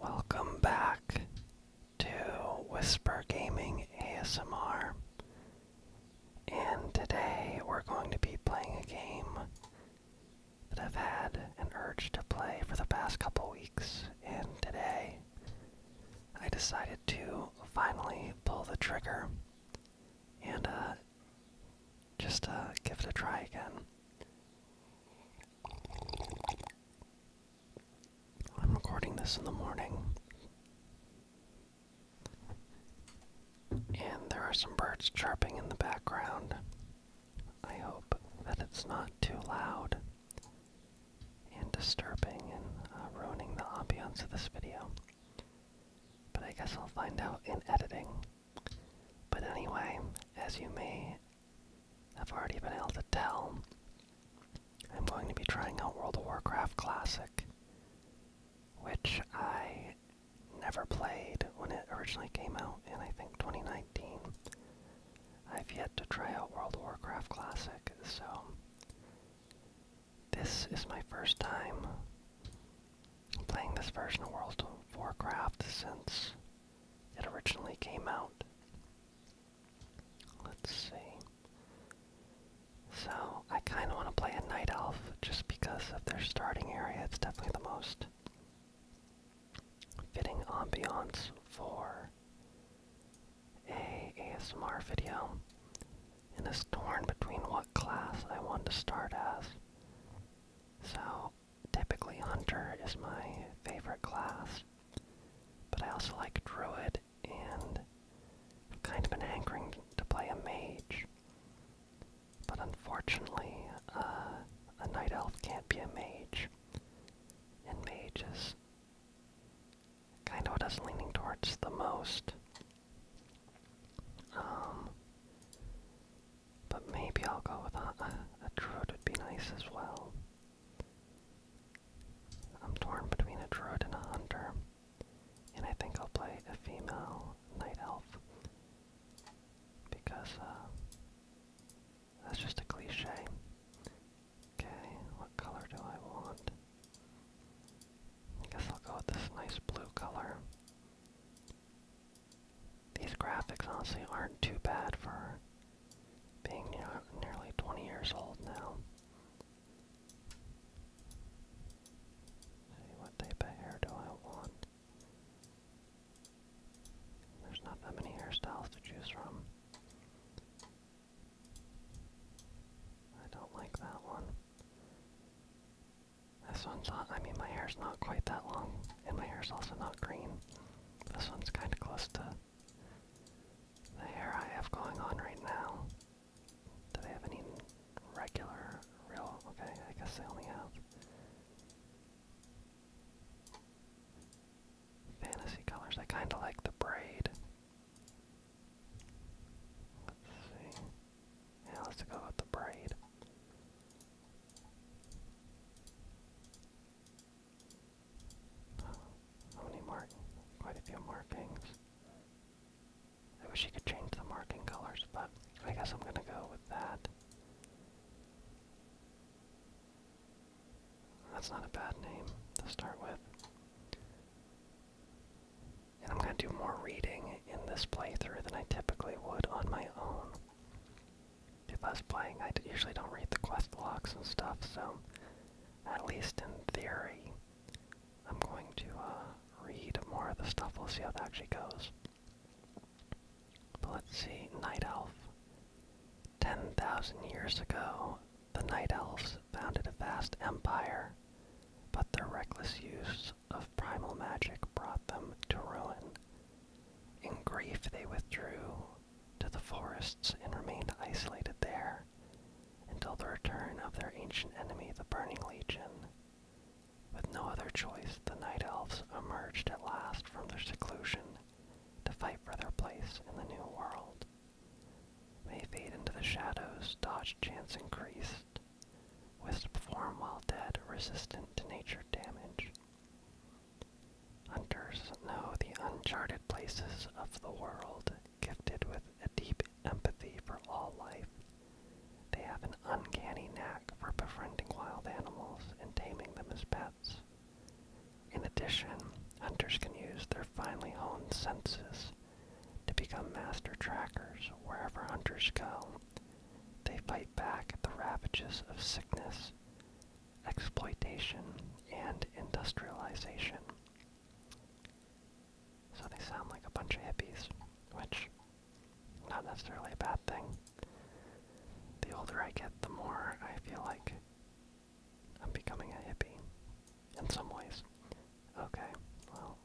Welcome back to Whisper Gaming ASMR. And today we're going to be playing a game that I've had an urge to play for the past couple weeks. And today I decided to finally pull the trigger. And uh, just uh, give it a try again. I'm recording this in the morning, and there are some birds chirping in the background. I hope that it's not too loud and disturbing and uh, ruining the ambiance of this video. But I guess I'll find out in editing. But anyway, as you may have already been able to tell, I'm going to be trying out World of Warcraft Classic, which I never played when it originally came out in, I think, 2019. I've yet to try out World of Warcraft Classic, so this is my first time playing this version of World of Warcraft since it originally came out. Let's see. So, I kind of want to play a Night Elf just because of their starting area. It's definitely the most fitting ambiance for a ASMR video and is torn between what class I want to start as. So, typically Hunter is my favorite class, but I also like Druid and I've kind of been hankering to play a mage. But unfortunately, uh, a night elf can't be a mage, and mage is kind of what I was leaning towards the most. Um, but maybe I'll go with a, druid would be nice as well. I'm torn between a druid and a hunter, and I think I'll play a female night elf because uh, that's just a cliche. Okay, what color do I want? I guess I'll go with this nice blue color. These graphics honestly aren't too bad for being nearly 20 years old now. Hey, what type of hair do I want? There's not that many hairstyles to choose from. I don't like that one. This one's not, I mean, my hair's not quite that long, and my hair's also not green. This one's kind of close to the hair I have going on right now. Do they have any regular, real? Okay, I guess they only have. Fantasy colors. I kind of like the braid. Let's see. Yeah, let's go with the braid. How oh, many mark? Quite a few markings. I wish you could change the marking colors, but I guess I'm gonna go with that. That's not a bad name to start with. And I'm going to do more reading in this playthrough than I typically would on my own. If I was playing, I usually don't read the quest logs and stuff, so at least in theory, I'm going to uh, read more of the stuff. We'll see how that actually goes. But let's see, Night Elf. 10,000 years ago, the Night Elves founded a vast empire, but their reckless use of primal magic brought them to ruin. In grief, they withdrew to the forests and remained isolated there until the return of their ancient enemy, the Burning Legion. With no other choice, the Night Elves emerged at last from their seclusion to fight for their place in the New World. They fade into the shadows, dodge chance increased, Wisp form while dead, resistant to nature damage. Hunters know the uncharted places of the world, gifted with a deep empathy for all life. They have an uncanny knack for befriending wild animals and taming them as pets. In addition, hunters can use their finely honed senses to become master trackers wherever hunters go. They fight back at the ravages of sickness, exploitation, and industrialization. So they sound like a bunch of hippies, which not necessarily a bad thing. The older I get, the more I feel like I'm becoming a hippie in some ways. Okay, well,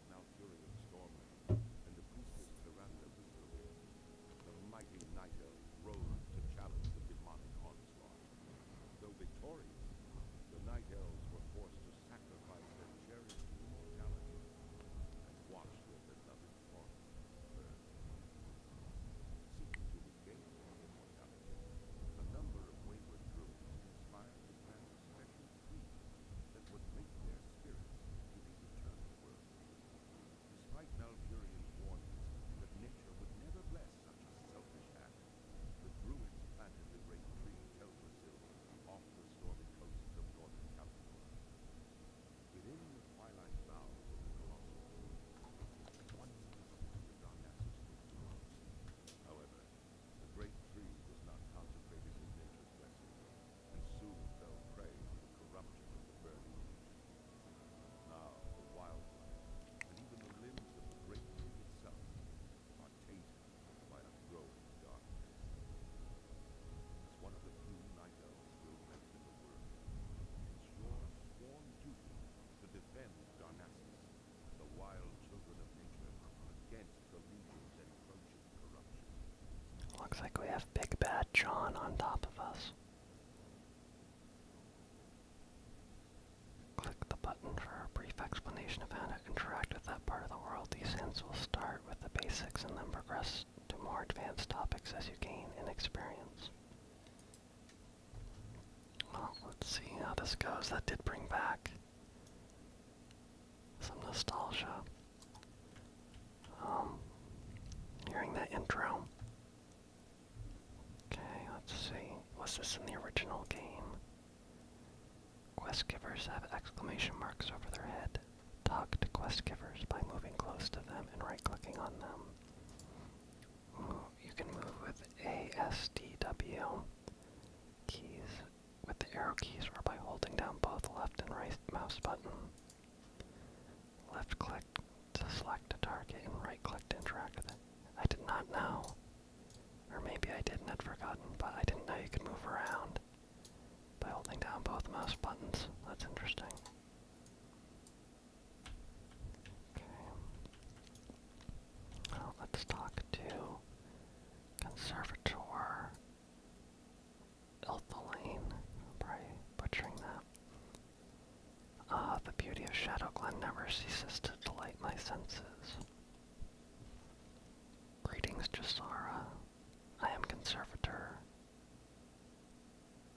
was now storm, and the priestess Miranda whispered him. The mighty night elf rose to challenge the demonic onslaught. Though victorious, the night elves were forced to sacrifice their cherished immortality and watch their beloved form burn. Seeking to regain their a number of wayward druids inspired the grand that would link their spirits to the eternal world. Despite Malfurion's warnings that nature would never bless such a selfish act, the Druids planted the great tree of Teldrassil off the stormy coasts of northern California. Within the twilight boughs of the colossal tree, once the dark ashes However, the great tree was not consecrated in native blessing, and soon fell prey to the corruption of the burning Now the wildlife, and even the limbs of the great tree itself, are tainted by a growing darkness. As one of the few night elves still left in the world, it's your sworn duty to defend Darnassus, the wild children of nature, against the legions encroaching Looks like we have Big Bad John on top of us. Click the button for a brief explanation of how to interact with that part of the world. These hints will start with the basics and then progress to more advanced topics as you gain in experience. Well, let's see how this goes. That did bring back some nostalgia. Um, hearing that intro. Okay, let's see. Was this in the original game? Quest givers have exclamation marks over their head. Talk to quest givers by moving close to them and right-clicking on them. you can move with ASDW keys with the arrow keys or by holding down both left and right mouse button. Left click to select a target and right click to interact with it. I did not know. Or maybe I did and had forgotten, but I didn't know you could move around by holding down both mouse buttons. That's interesting. Okay. let's talk to Conservator Elthalain, probably butchering that. Ah, the beauty of Shadow Glen never ceases to delight my senses. Greetings, Jasara. I am Conservator.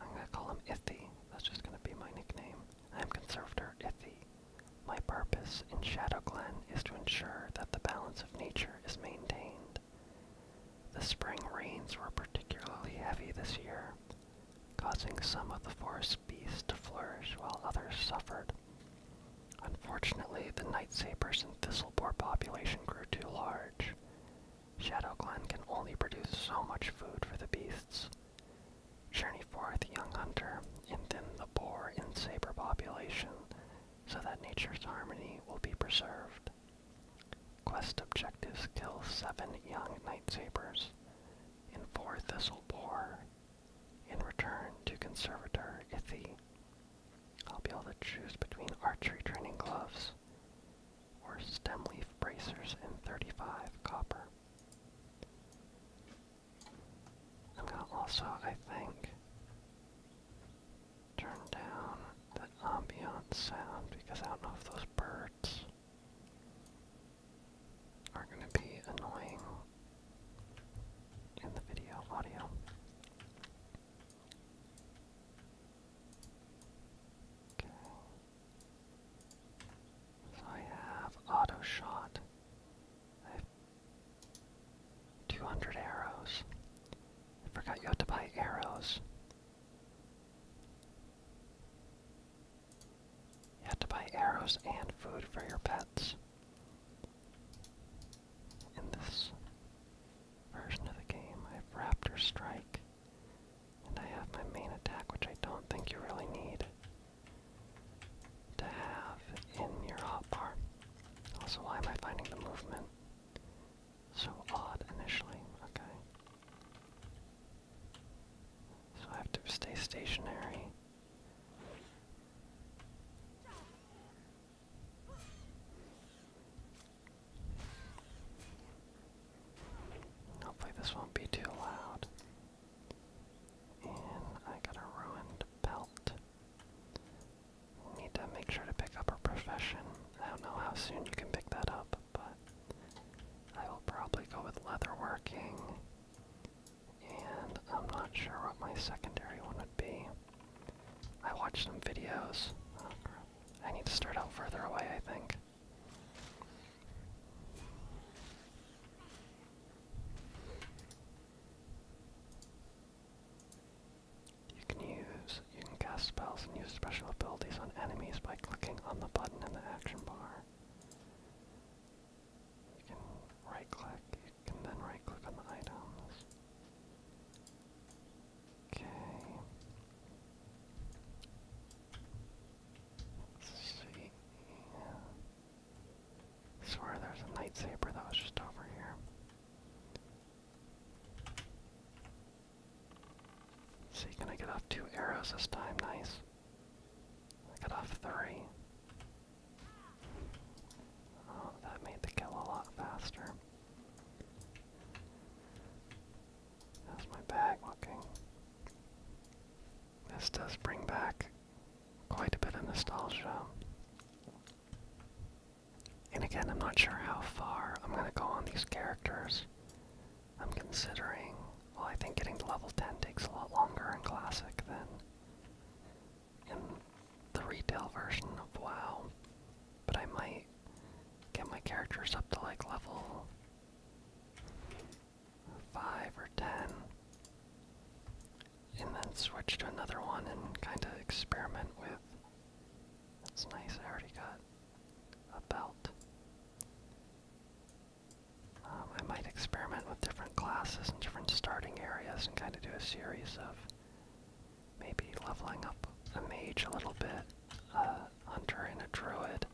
I'm gonna call him Ithi. That's just gonna be my nickname. I am Conservator Ithi. My purpose in Shadow Glen is to ensure that the balance of nature is maintained. The spring rains were particularly heavy this year, causing some of the forest beasts to flourish while others suffered. Unfortunately, the night sabers and thistleboar population grew too large. Shadow Glen can only produce so much food for the beasts. Journey forth, young hunter, and thin the boar and saber population so that nature's harmony will be preserved. Quest objective: kill seven young night sabers in four Thistle bore. and return to Conservator Ithi. I'll be able to choose between archery training gloves or stem leaf bracers and 35 copper. I'm going also, I think, turn down the ambient sound because I don't know if those birds are going to be annoying in the video audio. So I have auto shot. 200 arrows. I forgot you have to buy arrows. You have to buy arrows and food for your pets in this version of the game. I have Raptor Strike, and I have my main attack, which I don't think you really need to have in your hotbar. Also, why am I finding the movement so odd initially, okay. So I have to stay stationary. Hopefully this won't be too loud. And I got a ruined belt need to make sure to pick up a profession. I don't know how soon you can pick that up, but I will probably go with leatherworking. And I'm not sure what my secondary one would be. I watched some videos. I need to start out further away, I think. You can use you can cast spells and use special abilities on enemies by clicking on the button in the action bar. You can right click, you can then right click on the items. Okay. see. I swear there's a lightsaber that was just over here see, can I get off two arrows this time? Nice. I got off three. Oh, that made the kill a lot faster. How's my bag looking? This does bring back quite a bit of nostalgia. And again, I'm not sure how far I'm going to go on these characters. I'm considering, well, I think getting to level 10 takes a lot longer in Classic than in the retail version of WoW. But I might get my characters up to like level 5 or 10 and then switch to another one and kind of experiment with. It's nice, I already got a belt. Um, I might experiment with different classes and different starting areas and kind of do a series of maybe leveling up a mage a little bit, a uh, hunter and a druid.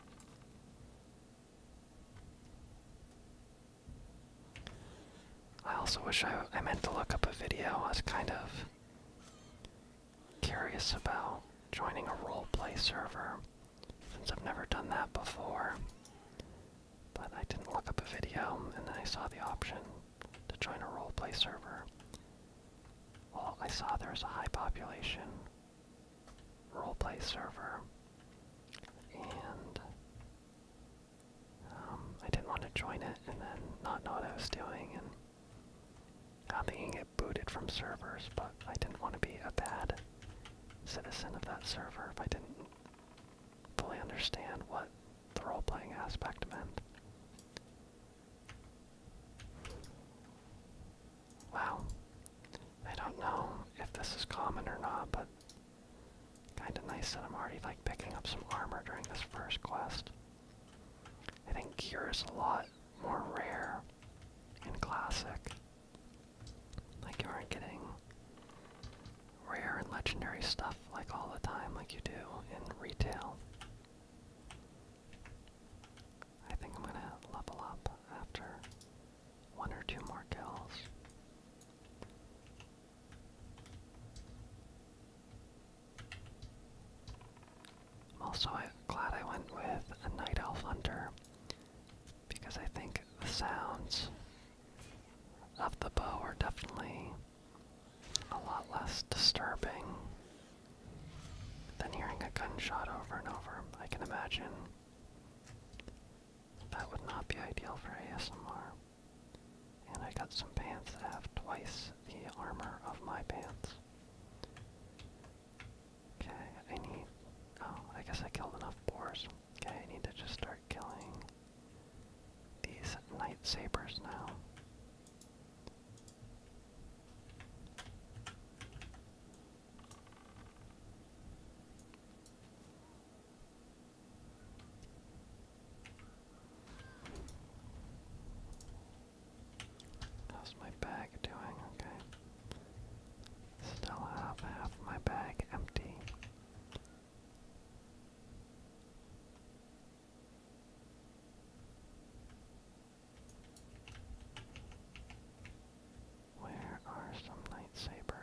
I also wish I, I meant to look up a video. I was kind of curious about joining a roleplay server since I've never done that before. But I didn't look up a video, and then I saw the option to join a roleplay server. Well, I saw there was a high population roleplay server, and um, I didn't want to join it and then not know what I was doing, and I think you booted from servers, but I didn't want to be a bad citizen of that server if I didn't fully understand what the role-playing aspect meant. Wow. I don't know if this is common or not, but kinda nice that I'm already like picking up some armor during this first quest. I think Gear is a lot more rare in Classic. Like you aren't getting rare and legendary stuff like all the time like you do in retail. I think I'm gonna level up after one or two more kills. I'm also glad I went with a night elf hunter because I think the sounds of the bow are definitely a lot less disturbing than hearing a gunshot over and over. I can imagine that would not be ideal for ASMR. And I got some pants that have twice the armor of my pants. Okay, I need. Oh, I guess I killed enough boars. Okay, I need to just start killing these night sabers now. How's my bag doing? Okay. Still have half my bag empty. Where are some lightsabers?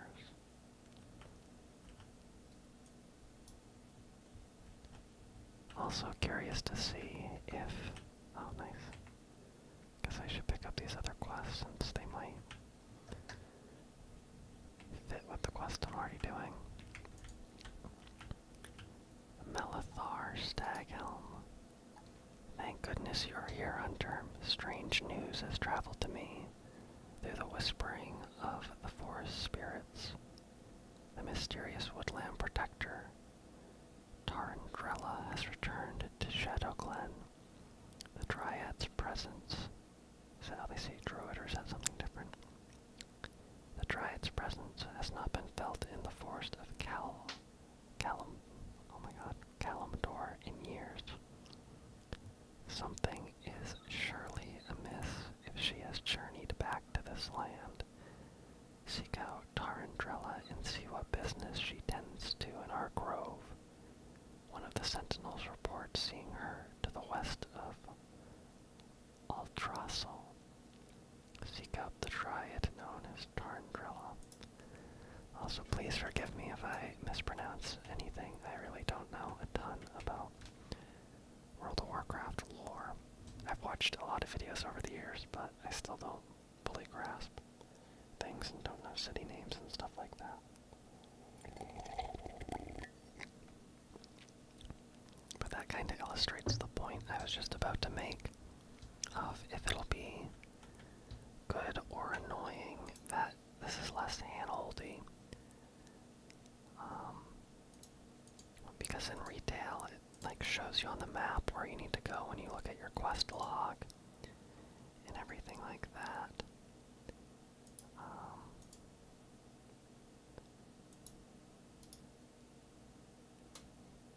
Also curious to see if oh nice. Guess I should pick up these other quests since they might fit with the quest I'm already doing. Melithar Staghelm. Thank goodness you're here, Hunter. Strange news has traveled to me through the whispering of the forest spirits. The mysterious woodland protector, Tarandrella, has returned to Shadow Glen. The Dryad's presence. So now they say Druid or is something different? The Dryad's presence has not been felt in the forest of Cal. Calum. Oh my god. Calamdor in years. Something is surely amiss if she has journeyed back to this land. Seek out Tarandrella and see what business she tends to in our grove. One of the sentinels reports seeing her to the west of Altrassel. Seek out the triad known as Tarandrella. Also, please forgive me if I mispronounce anything. I really don't know a ton about World of Warcraft lore. I've watched a lot of videos over the years, but I still don't fully grasp things and don't know city names and stuff like that. But that kind of illustrates the point I was just about to make of if it'll be good or annoying that this is less handholdy um, because in retail, it like shows you on the map where you need to go when you look at your quest log and everything like that. Um,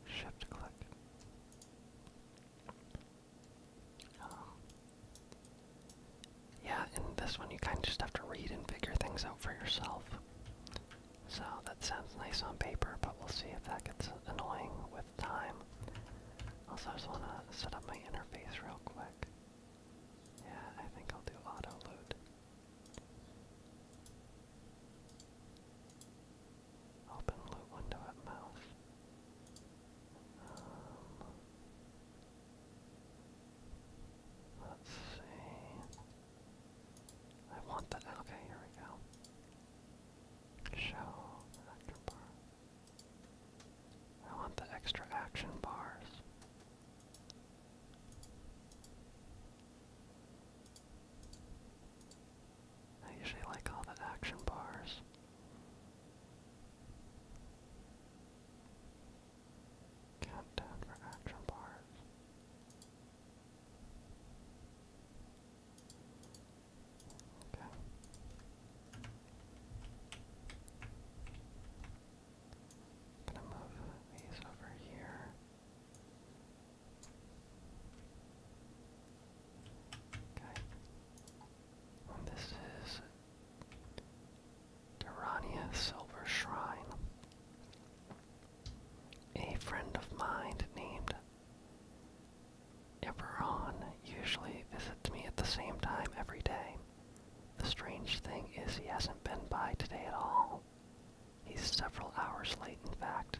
shift click. Um, yeah, in this one you kind of just have to read and figure things out for yourself. So that sounds nice on paper, but we'll see if that gets annoying with time. Also, just want to set up my interface real quick. Yeah, I think I'll do auto load. Open loot window at mouth. Um, let's see. I want that. Okay, here we go. Show actor bar. I want the extra action bars. I usually like all the action bars. Countdown for action bars. Okay. I'm gonna move these over here. Okay. Well, this is Durania Silver Shrine. A friend of mine named Eberron usually visits me at the same time every day. The strange thing is he hasn't been by today at all. He's several hours late, in fact.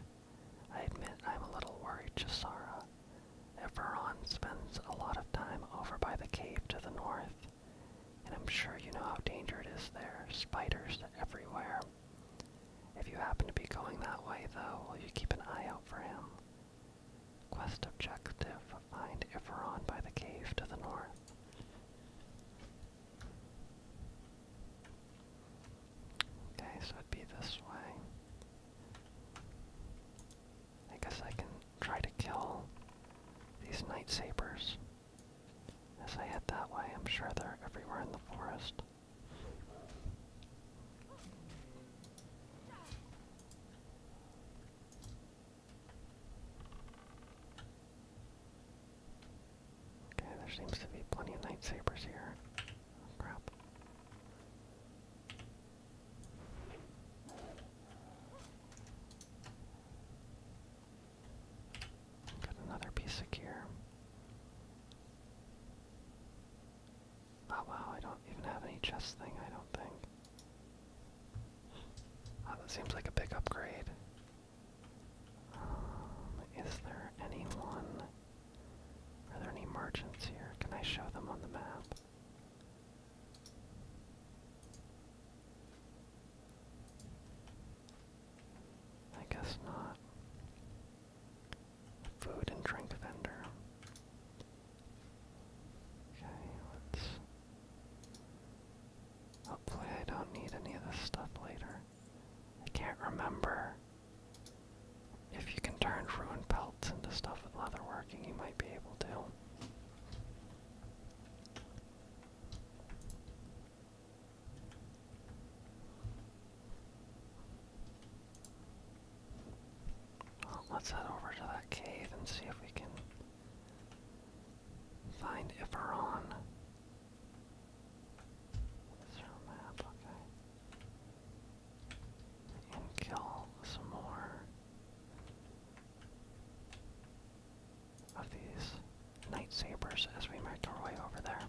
I admit I'm a little worried, Chisara. Eberron spends a lot of time over by the cave to the north. And I'm sure you know how dangerous it is there. Spiders everywhere. If you happen to be going that way, though, will you keep an eye out for him? Quest objective, find Iferon by the cave to the north. Okay, so it'd be this way. I guess I can try to kill these night sabers. As I head that way, I'm sure they're everywhere in the forest. Okay, there seems to be plenty of lightsabers here. crap. Got another piece of gear. Oh wow, I don't even have any chest thing, I don't think. Oh, that seems like a big upgrade. Um, is there anyone? Are there any merchants here? Can I show them on the map? I guess not. Food and drink vendor. Okay, let's. Hopefully, I don't need any of this stuff later. I can't remember if you can turn ruined pelts into stuff with leatherworking, you might be able to let's head over to that cave and see if we can find Iferon. This map, okay. And kill some more of these lightsabers as we make our way over there.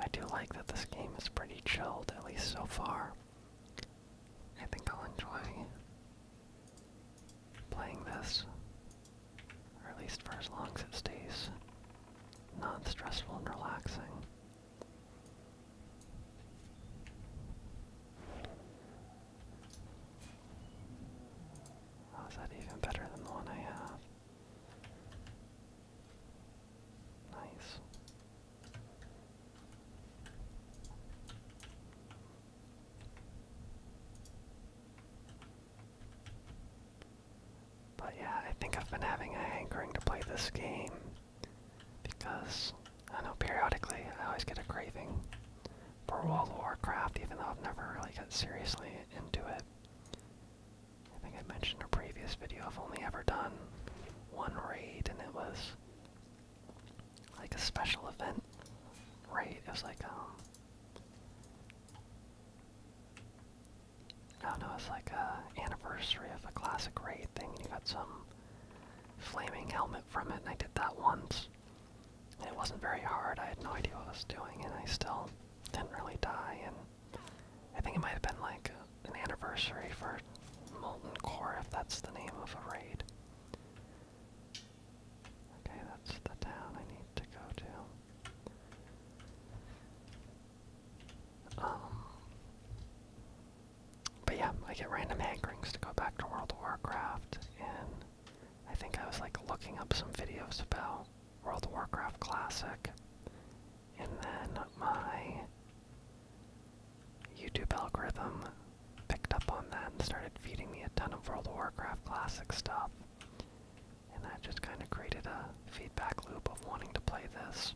I do like that this game is pretty chilled, at least so far. I think I'll enjoy playing this, or at least for as long as it stays not stressful and relaxing. How that even better than the one I have? Nice. But yeah, I think I've been having a hankering to play this game because I know periodically I always get a craving for World of Warcraft, even though I've never really got seriously into it. I think I mentioned in a previous video I've only ever done one raid, and it was like a special event raid. It was like um, I don't know, it's like a anniversary of a classic raid thing, and you got some flaming helmet from it, and I did that once. it wasn't very hard, I had no idea what I was doing, and I still didn't really die, and I think it might have been like an anniversary for Molten Core, if that's the name of a raid. Okay, that's the town I need to go to. Um, but yeah, I get random hankerings to go back to World of Warcraft, and I think I was like looking up some videos about World of Warcraft Classic, and then my YouTube algorithm picked up on that and started feeding me a ton of World of Warcraft Classic stuff and that just kind of created a feedback loop of wanting to play this.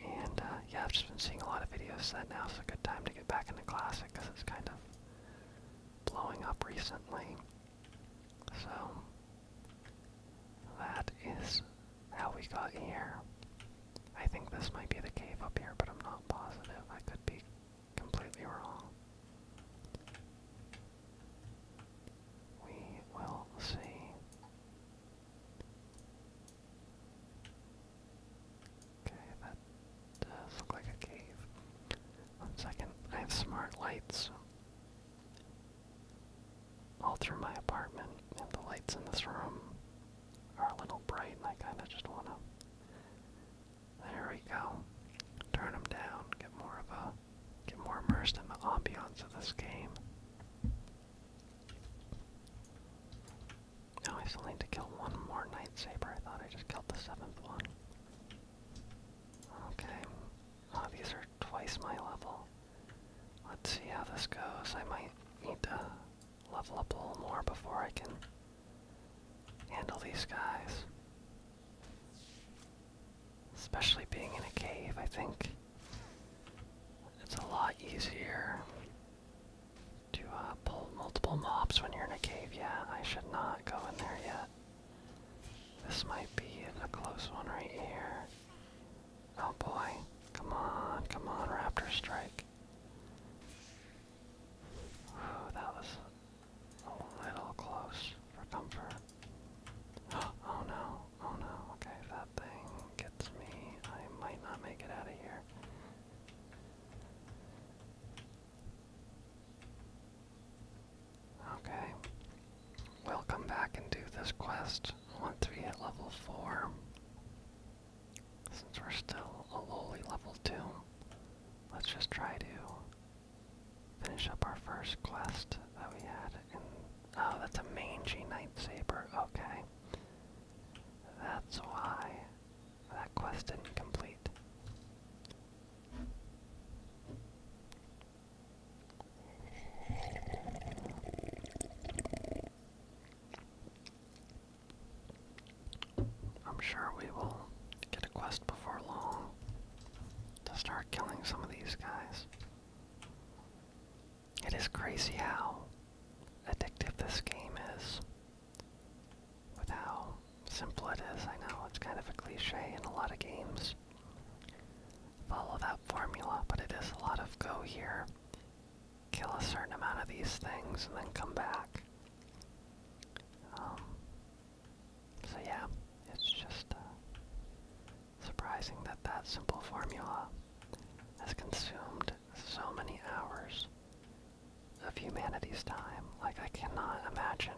And uh, yeah, I've just been seeing a lot of videos that now is a good time to get back into Classic because it's kind of blowing up recently. So that is how we got here. I think this might be the cave up here, but I'm not positive. I could be completely wrong. We will see. Okay, that does look like a cave. One second, I have smart lights all through my apartment, and the lights in this room are a little bright, and I kind of just want to. There we go. Turn them down, get more of a get more immersed in the ambiance of this game. Now I still need to kill one more Nightsaber. I thought I just killed the seventh one. Okay. these are twice my level. Let's see how this goes. I might need to level up a little more before I can handle these guys. Especially being in a cave, I think it's a lot easier to uh, pull multiple mobs when you're in a cave. Yeah, I should not go in there yet. This might be a close one right here. Oh boy, come on, come on, Raptor Strike. Ooh, that was a little close for comfort. Oh no, oh no, okay, that thing gets me, I might not make it out of here. Okay, we'll come back and do this quest once we hit level 4, since we're still a lowly level 2. Let's just try to finish up our first quest that we had in oh that's a mangy Nightsaber, okay. That's why that quest didn't complete. I'm sure we will get a quest before long to start killing some of these guys. It is crazy how addictive this game is. With how simple it is, I know it's kind of a cliche in a lot of games. Follow that formula, but it is a lot of go here, kill a certain amount of these things, and then come back. Um, so yeah, it's just uh, Surprising that that simple formula has consumed so many hours of humanity's time. Like, I cannot imagine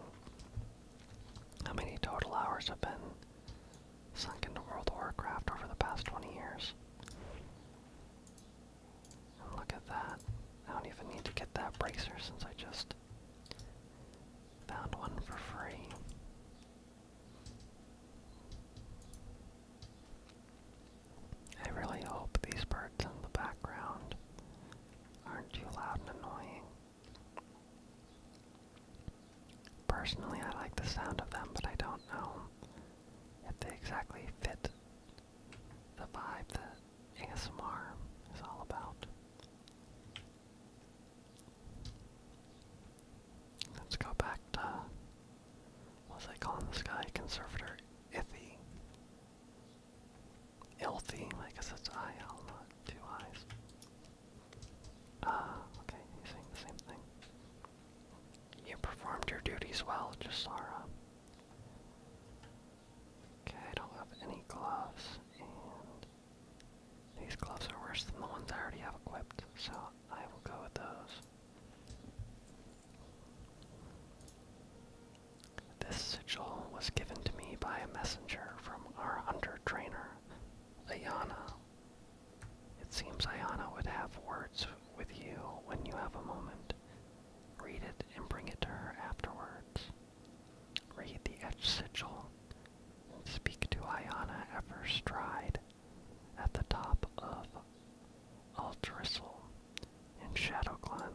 how many total hours have been sunk into World of Warcraft over the past 20 years. And look at that. I don't even need to get that bracer since I just found one for free. I really hope these birds in the background aren't too loud and annoying. Personally, I like the sound of them, but I don't know if they exactly fit the vibe that ASMR is all about. Let's go back to what's I calling this guy? Conservator Ithy. Ilthy, I guess it's I L, two eyes. Ah, okay, same thing. You performed your duties well, Jasara. Okay, I don't have any gloves, these gloves are worse than the ones I already have equipped, so I will go with those. This sigil was given to me by a messenger from our under trainer, Ayana. It seems Ayana would have words with you when you have a moment. Read it and bring it to her afterwards. Read the etched sigil Speak to Ayana at her stride at the top of Aldrissel in Shadow Glen.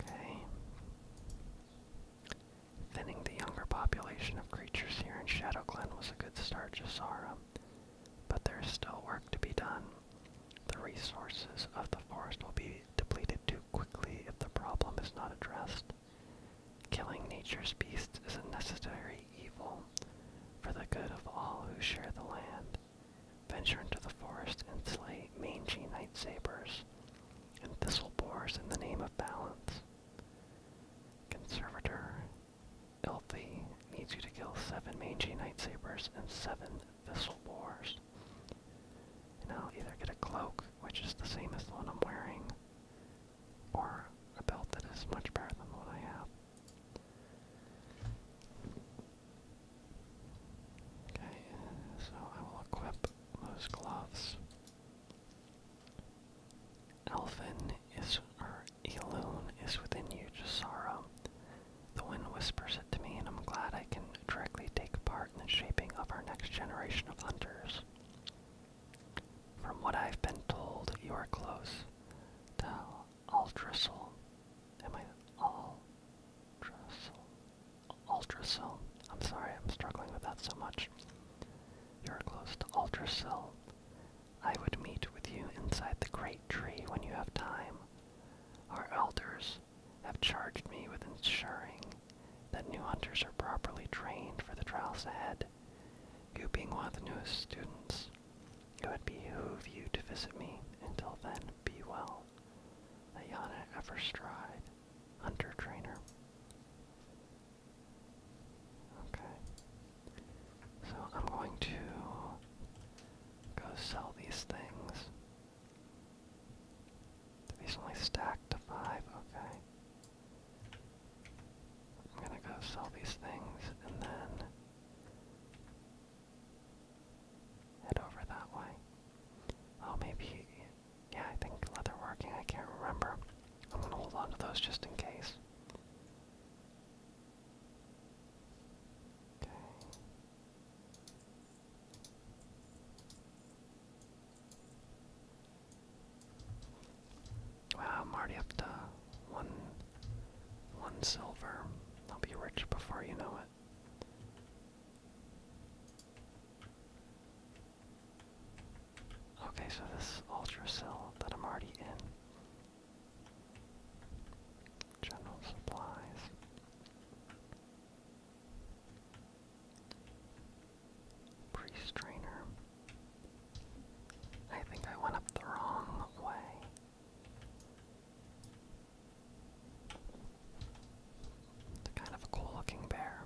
Okay. Thinning the younger population of creatures here in Shadow Glen was a good start, Jasara, but there is still work to be done. The resources of the forest will be depleted too quickly if the problem is not addressed. Killing nature's beasts is a necessary evil for the good of all who share the land. Venture into the forest and slay mangy night sabers and thistle boars in the name of balance. Conservator Ilthi needs you to kill seven mangy night sabers and seven thistle boars. And I'll either get a cloak, which is the same as the one I'm wearing, or a belt that is much better than what I have. Okay, so I will equip those gloves. Elfin is, or Elune is within you, Jasara. The wind whispers it to me, and I'm glad I can directly take part in the shaping of our next generation of hunters. From what I've been told, you are close to ultrasol. Am I ultrasol? Ultracell. I'm sorry, I'm struggling with that so much. You're close to Ultracell. I would meet with you inside the great tree when you have time. Our elders have charged me with ensuring that new hunters are properly trained for the trials ahead. You being one of the newest students, it would behoove you to visit me. Until then, be well. Ayana Everstride, Hunter Trainer. Okay. So I'm going to go sell these things. These only stack to five, okay. I'm gonna go sell these things and then head over that way. Oh, maybe, yeah, I think leatherworking, I can't remember. I'm gonna hold on to those just in case. Okay. Wow, I'm already up to one one silver. I'll be rich before you know it. Okay, so this ultra cell that I'm already in. General supplies. Priest I think I went up the wrong way. It's kind of a cool looking bear.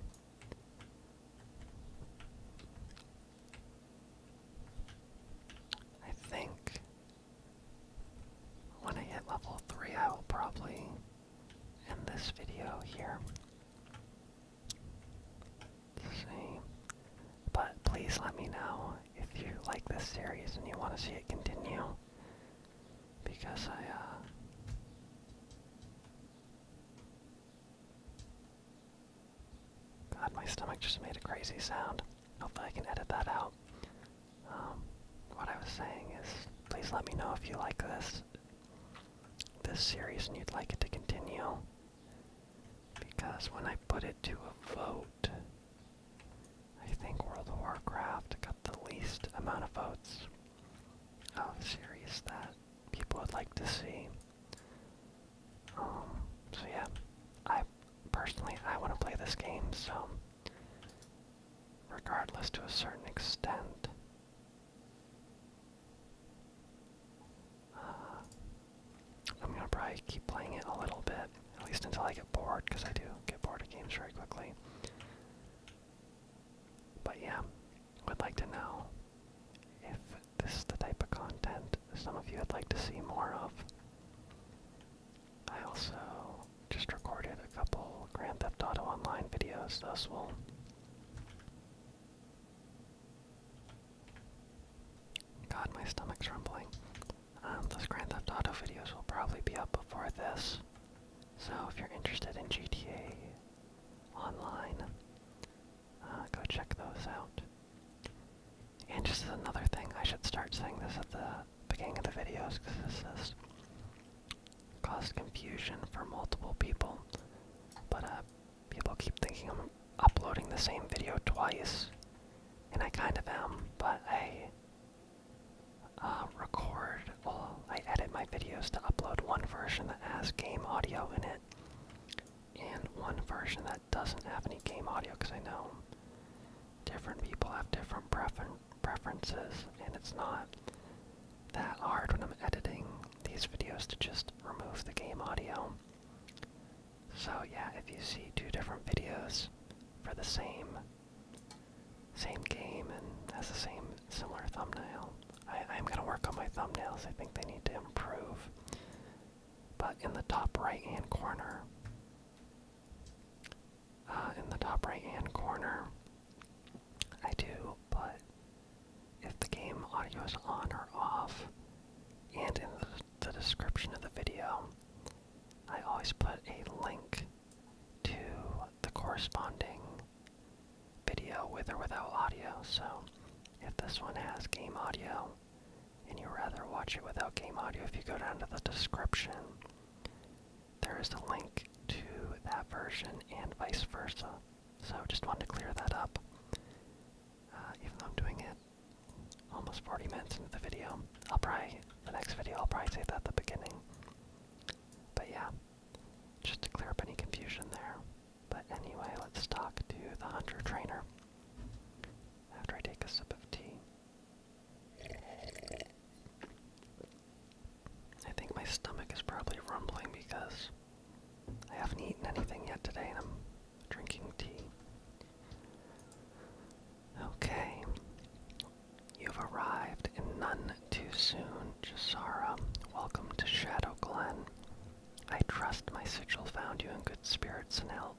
I think when I hit level 3, I will probably end this video here see. But please let me know if you like this series and you want to see it continue. Because I, uh. God, my stomach just made a crazy sound. Hopefully, I can edit that out. Um, what I was saying is, please let me know if you like this this series and you'd like it to continue. Because when I put it to a vote, I think World of Warcraft got the least amount of votes of series that people would like to see. Um, so yeah, I personally I want to play this game, so regardless to a certain extent, I'm gonna probably keep playing it a little bit, at least until I get bored, because I do get bored of games very quickly. But yeah, would like to know if this is the type of content some of you would like to see more of. I also just recorded a couple Grand Theft Auto Online videos, those will God, my stomach's rumbling. Um, those Grand Theft Auto videos will probably be up before this. So if you're interested in GTA Online, uh, go check those out. And just another thing, I should start saying this at the beginning of the videos because this is caused confusion for multiple people. But uh, people keep thinking I'm uploading the same video twice, and I kind of am. But I uh, record, well, I edit my videos to upload one version that has game audio in it, and one version that doesn't have any game audio because I know different people have different preferences, and it's not that hard when I'm editing these videos to just remove the game audio. So yeah, if you see two different videos for the same same game and has the same similar thumbnail, I, I'm gonna work on my thumbnails. I think they need to improve. But in the top right-hand corner, uh, in the top right-hand corner, I do, but if the game audio is on or off, and in the, description of the video, I always put a link to the corresponding video with or without audio. So if this one has game audio and you rather watch it without game audio, if you go down to the description, there is a link to that version and vice versa. So just wanted to clear that up. Uh, even though I'm doing it almost 40 minutes into the video, I'll probably, the next video, I'll probably say that at the beginning. But yeah, just to clear up any confusion there. But anyway, let's talk to the hunter trainer after I take a sip of tea. I think my stomach is probably rumbling because I haven't eaten anything yet today and I'm drinking tea. Okay. You've arrived and none too soon, Jasara. Welcome to Shadow Glen. I trust my sigil found you in good spirits and health.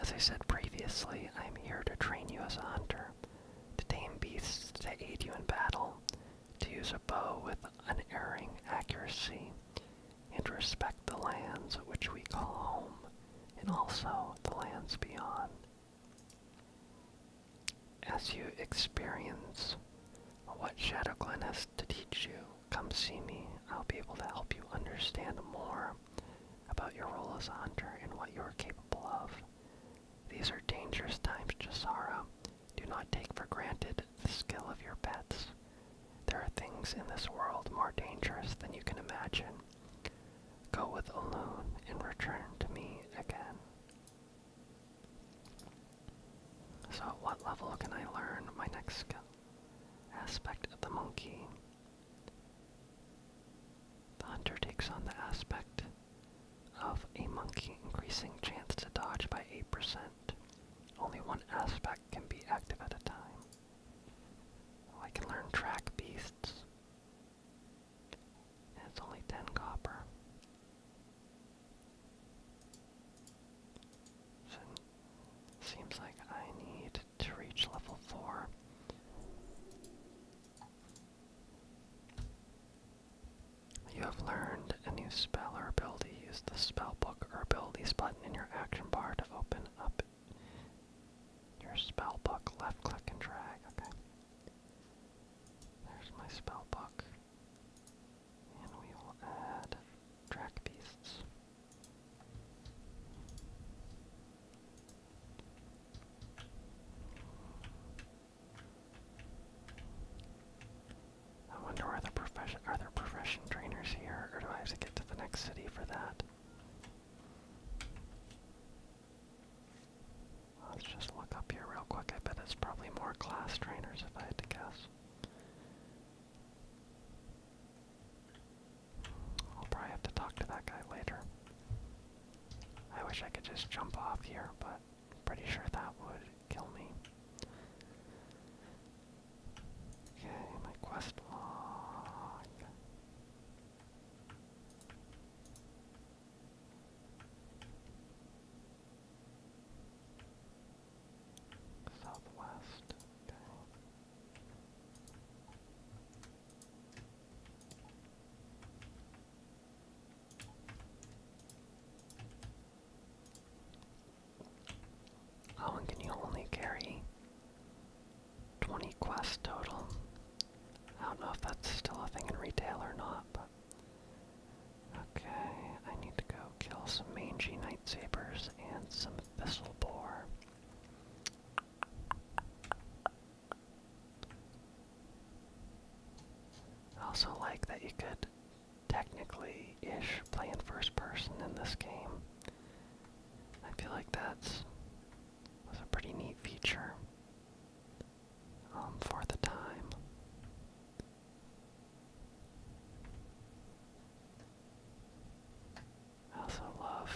As I said previously, I am here to train you as a hunter, to tame beasts to aid you in battle, to use a bow with unerring accuracy, and respect the lands which we call home, and also the lands beyond. As you experience what Shadow Glen has to teach you, come see me. I'll be able to help you understand more about your role as a hunter and what you are capable of. These are dangerous times, Jasara, do not take for granted the skill of your pets. There are things in this world more dangerous than you can imagine. Go with Olun and return to me again. So at what level can I learn my next skill? Aspect of the monkey. The hunter takes on the aspect of a monkey increasing chance to dodge by 8%. Only one aspect can be active at a time. Oh, I can learn track beasts. And it's only 10 copper. seems like I need to reach level 4. You have learned a new spell or ability. Use the spell book or abilities button in your action bar to open up your spell book. Left click and drag. Okay. There's my spell book. And we will add track beasts. I wonder are the profession are there profession trainers here, or do I have to get to the next city for that? Let's just look up here real quick. I bet it's probably more class trainers if I had guess. I'll probably have to talk to that guy later. I wish I could just jump off here, but Pretty sure that would kill me. Okay, my quest log. Southwest. Oh, and can you only carry 20 quests total? I don't know if that's still a thing in retail or not, but. Okay, I need to go kill some mangy night sabers and some thistle boar. I also like that you could technically ish playing first person in this game. I feel like that's was a pretty neat feature um, for the time. I also love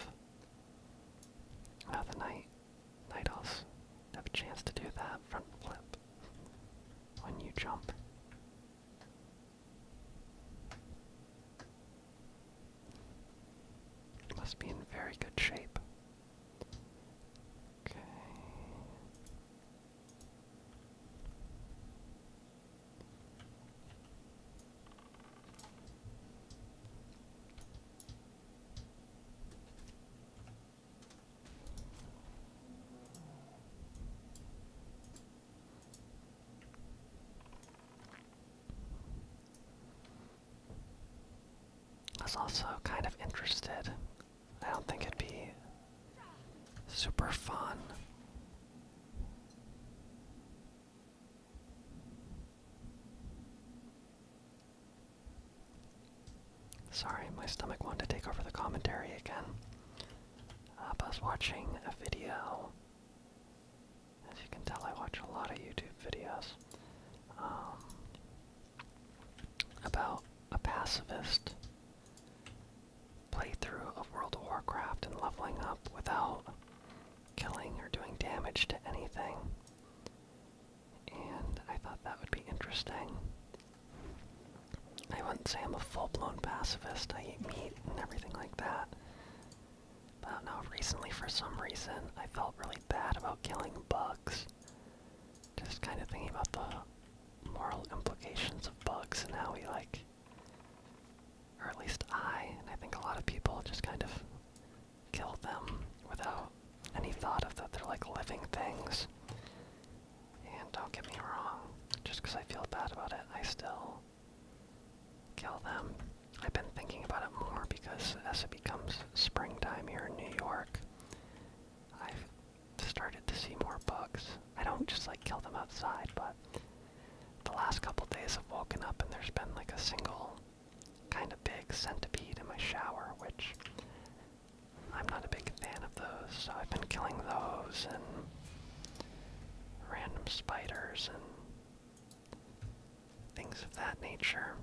how the night night have a chance to do that front flip when you jump. must be in very good shape. Okay. I was also kind of interested. I don't think it'd be super fun. Sorry, my stomach wanted to take over the commentary again. Uh, I was watching a video. As you can tell, I watch a lot of YouTube videos um, about a pacifist playthrough of World of Warcraft and leveling up without killing or doing damage to anything. And I thought that would be interesting. I wouldn't say I'm a full-blown pacifist. I eat meat and everything like that. But I don't know, recently for some reason I felt really bad about killing bugs. Just kind of thinking about the moral implications of bugs and how we like, or at least I, and I think a lot of people just kind of kill them without any thought of that they're like living things. And don't get me wrong, just because I feel bad about it, I still kill them. I've been thinking about it more because as it becomes springtime here in New York, I've started to see more bugs. I don't just like kill them outside, but the last couple days I've woken up and there's been like a single kind of big centipede in my shower, which I'm not a big fan of those, so I've been killing those and random spiders and things of that nature.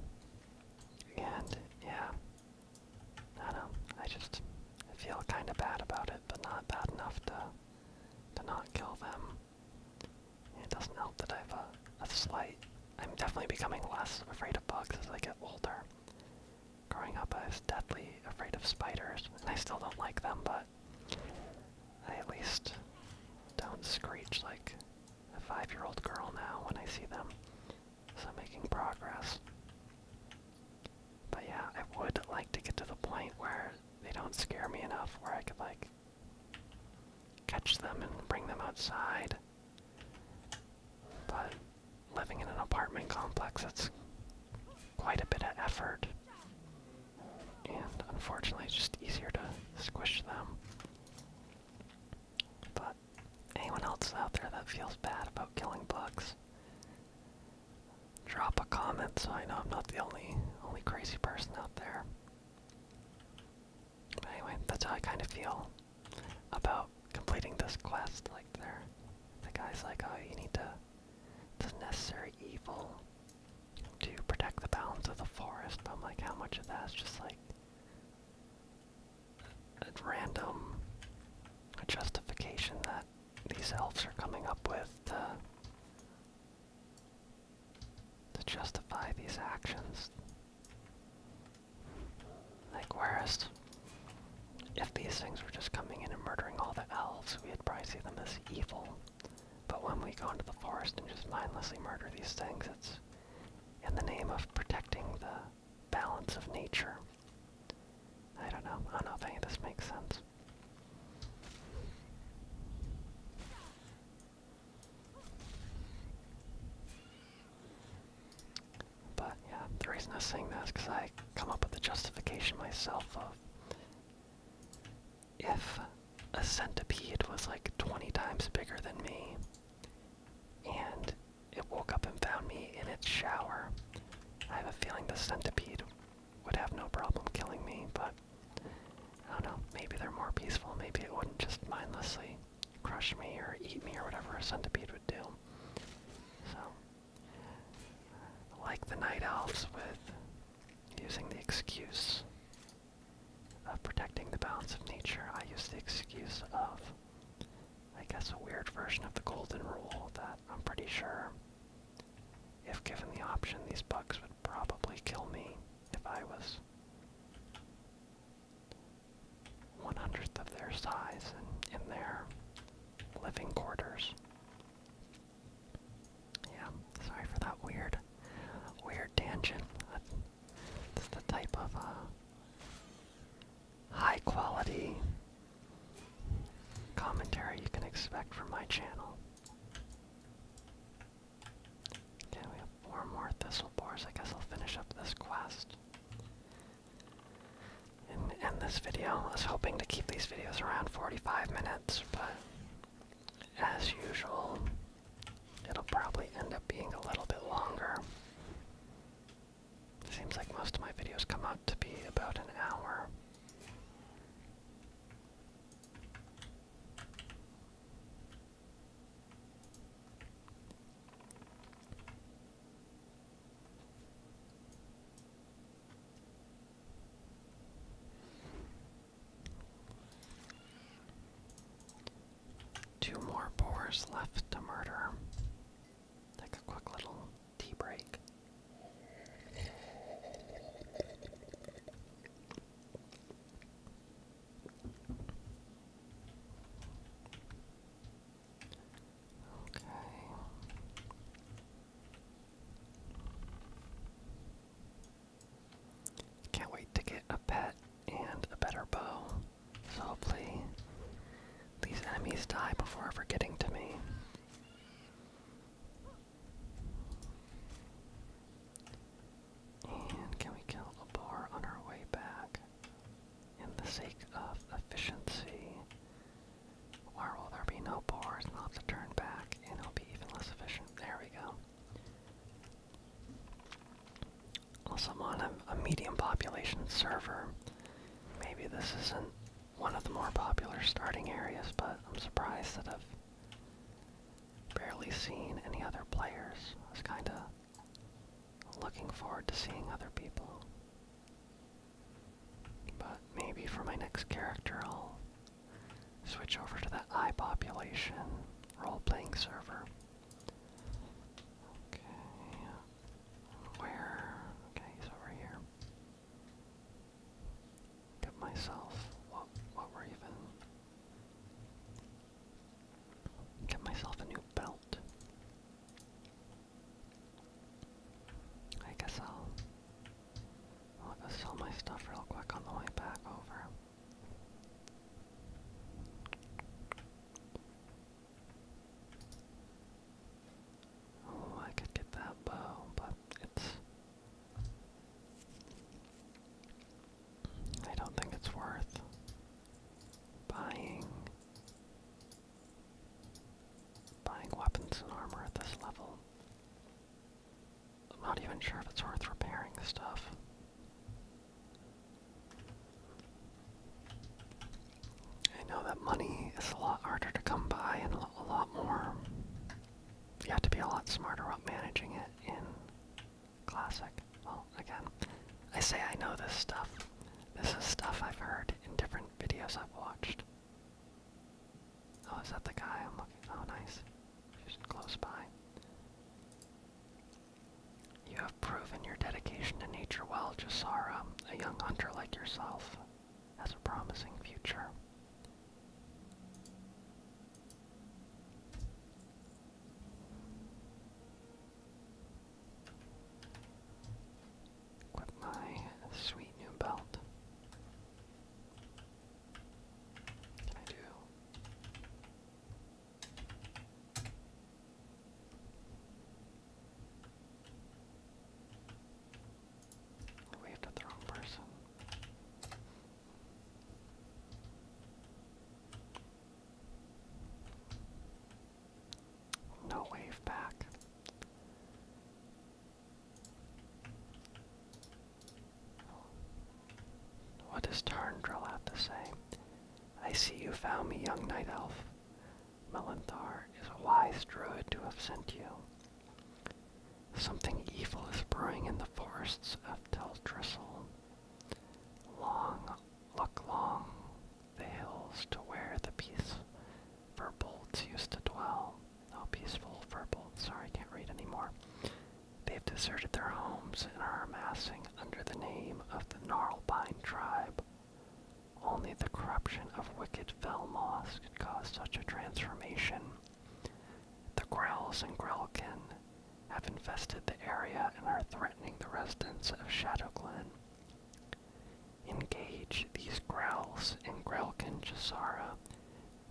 And yeah, I don't know, I just I feel kind of bad about it, but not bad enough to to not kill them. It doesn't help that I have a, a slight. I'm definitely becoming less afraid of bugs as I get older. Growing up, I was deathly afraid of spiders, and I still don't like them, but I at least don't screech like a five-year-old girl now when I see them. So I'm making progress. But yeah, I would like to get to the point where they don't scare me enough where I could like catch them and bring them outside. But living in an apartment complex, that's quite a bit of effort. And unfortunately, it's just easier to squish them. But anyone else out there that feels bad about killing bugs, drop a comment so I know I'm not the only only crazy person out there. anyway, that's how I kind of feel about completing this quest. Like, there, the guy's like, "Oh, you need to. It's a necessary evil to protect the balance of the forest." But I'm like, how much of that is just like a random justification that these elves are coming up with to justify these actions? Like, whereas if these things were just coming in and murdering all the elves, we'd probably see them as evil. But when we go into the forest and just mindlessly murder these things, it's in the name of protecting the balance of nature. I don't know. I don't know if any of this makes sense. But yeah, the reason I am saying that is because I come up with the justification myself of if a centipede was like 20 times bigger than me and it woke up and found me in its shower, I have a feeling the centipede would have no problem killing me, but I don't know, maybe they're more peaceful, maybe it wouldn't just mindlessly crush me or eat me or whatever a centipede would do. So like the night elves with using the excuse of protecting the balance of nature, I use the excuse of, I guess, a weird version of the golden rule that I'm pretty sure, if given the option, these bugs would probably kill me if I was one hundredth of their size and in their living quarters. Yeah, sorry for that weird, weird tangent. That's the type of uh, high quality commentary you can expect from my channel. Okay, we have four more thistle boars. I guess I'll finish up this quest and end this video. I was hoping to keep these videos around 45 minutes, but as usual, it'll probably end up being a little bit longer. Seems like most of my videos come out to be about an hour. Two more boars left to murder. Take a quick little tea break. Can't wait to get a pet and a better bow. So hopefully these enemies die before ever getting to me. And can we kill a boar on our way back? in the sake of efficiency, or will there be no bars and I'll have to turn back and it'll be even less efficient? There we go. Also, I'm on a medium population server. Maybe this isn't one of the more popular starting areas, but I'm surprised that I've barely seen any other players. I was kinda looking forward to seeing other people. But maybe for my next character, I'll switch over to that eye population role playing server. Okay. Where? Okay, he's over here. Get myself. What? What were even? Get myself a new belt. I guess I'll, I'll go sell my stuff real quick on the way back over. Oh, I could get that bow, but it's. I don't think it's worth buying Buying weapons and armor at this level. I'm not even sure if it's worth repairing stuff. I know that money is a lot harder to come by and a lot more. You have to be a lot smarter about managing it in Classic. Well, again, I say I know this stuff. This is stuff I've heard in different videos I've watched. Oh, is that the guy I'm looking? Oh, nice. Just close by. You have proven your dedication to nature well, Jasara. A young hunter like yourself has a promising future with my sweet new belt. I do? I waved at the wrong person. No wave back. What does Tarndrel have to say? I see you found me, young night elf. Melanthar is a wise druid to have sent you. Something evil is brewing in the forests of Tel Teltristle. Long, look long, the hills to where the peace verbolds used to dwell. Oh, peaceful verbolds. Sorry, I can't read anymore. They've deserted their homes and are amassing under the name of the Gnarlpine tribe. Only the corruption of wicked fell moss could cause such a transformation. The Grells and Grelkin have infested the area and are threatening the residents of Shadow Glen. Engage these Growls in Grelkin Chisara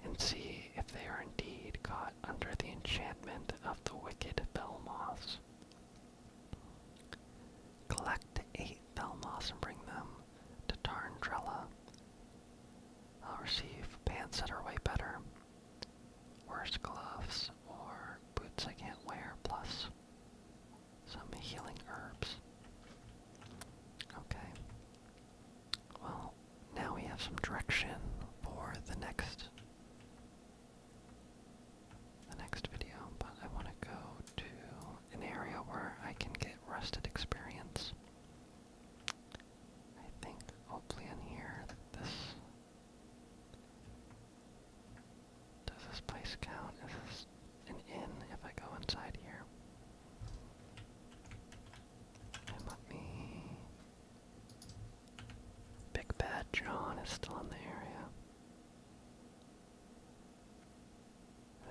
and see if they are indeed caught under the enchantment of the wicked Velmoths. Collect eight Velmoths and bring them to Tarn Drella. I'll receive pants that are way better, worse gloves, or boots I can't wear, plus some healing herbs. Okay. Well, now we have some direction for the next the next video, but I want to go to an area where I can get rusted experience. I think hopefully in here this does this place count? Is this an inn if I go inside here? And let me... Big Bad John is still in the area.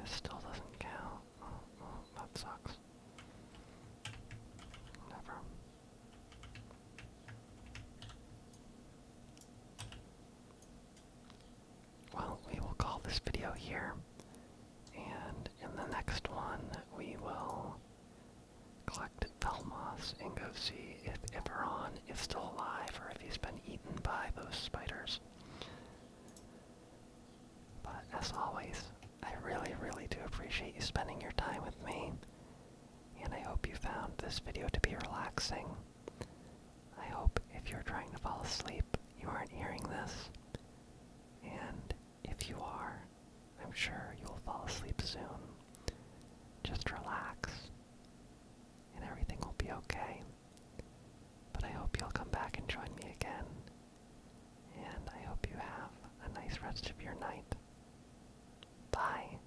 This still doesn't count. Oh, oh, that sucks. Never well, we will call this video here. And in the next one, we will collect Velmoths and go see if Iberon is still alive or if he's been eaten by those spiders. But as always, I really, really do appreciate you spending your time with me. And I hope you found this video to be relaxing. I hope if you're trying to fall asleep, you aren't hearing this. And if you are, I'm sure you'll fall asleep soon. Just relax, and everything will be okay. But I hope you'll come back and join me again. And I hope you have a nice rest of your night. Bye.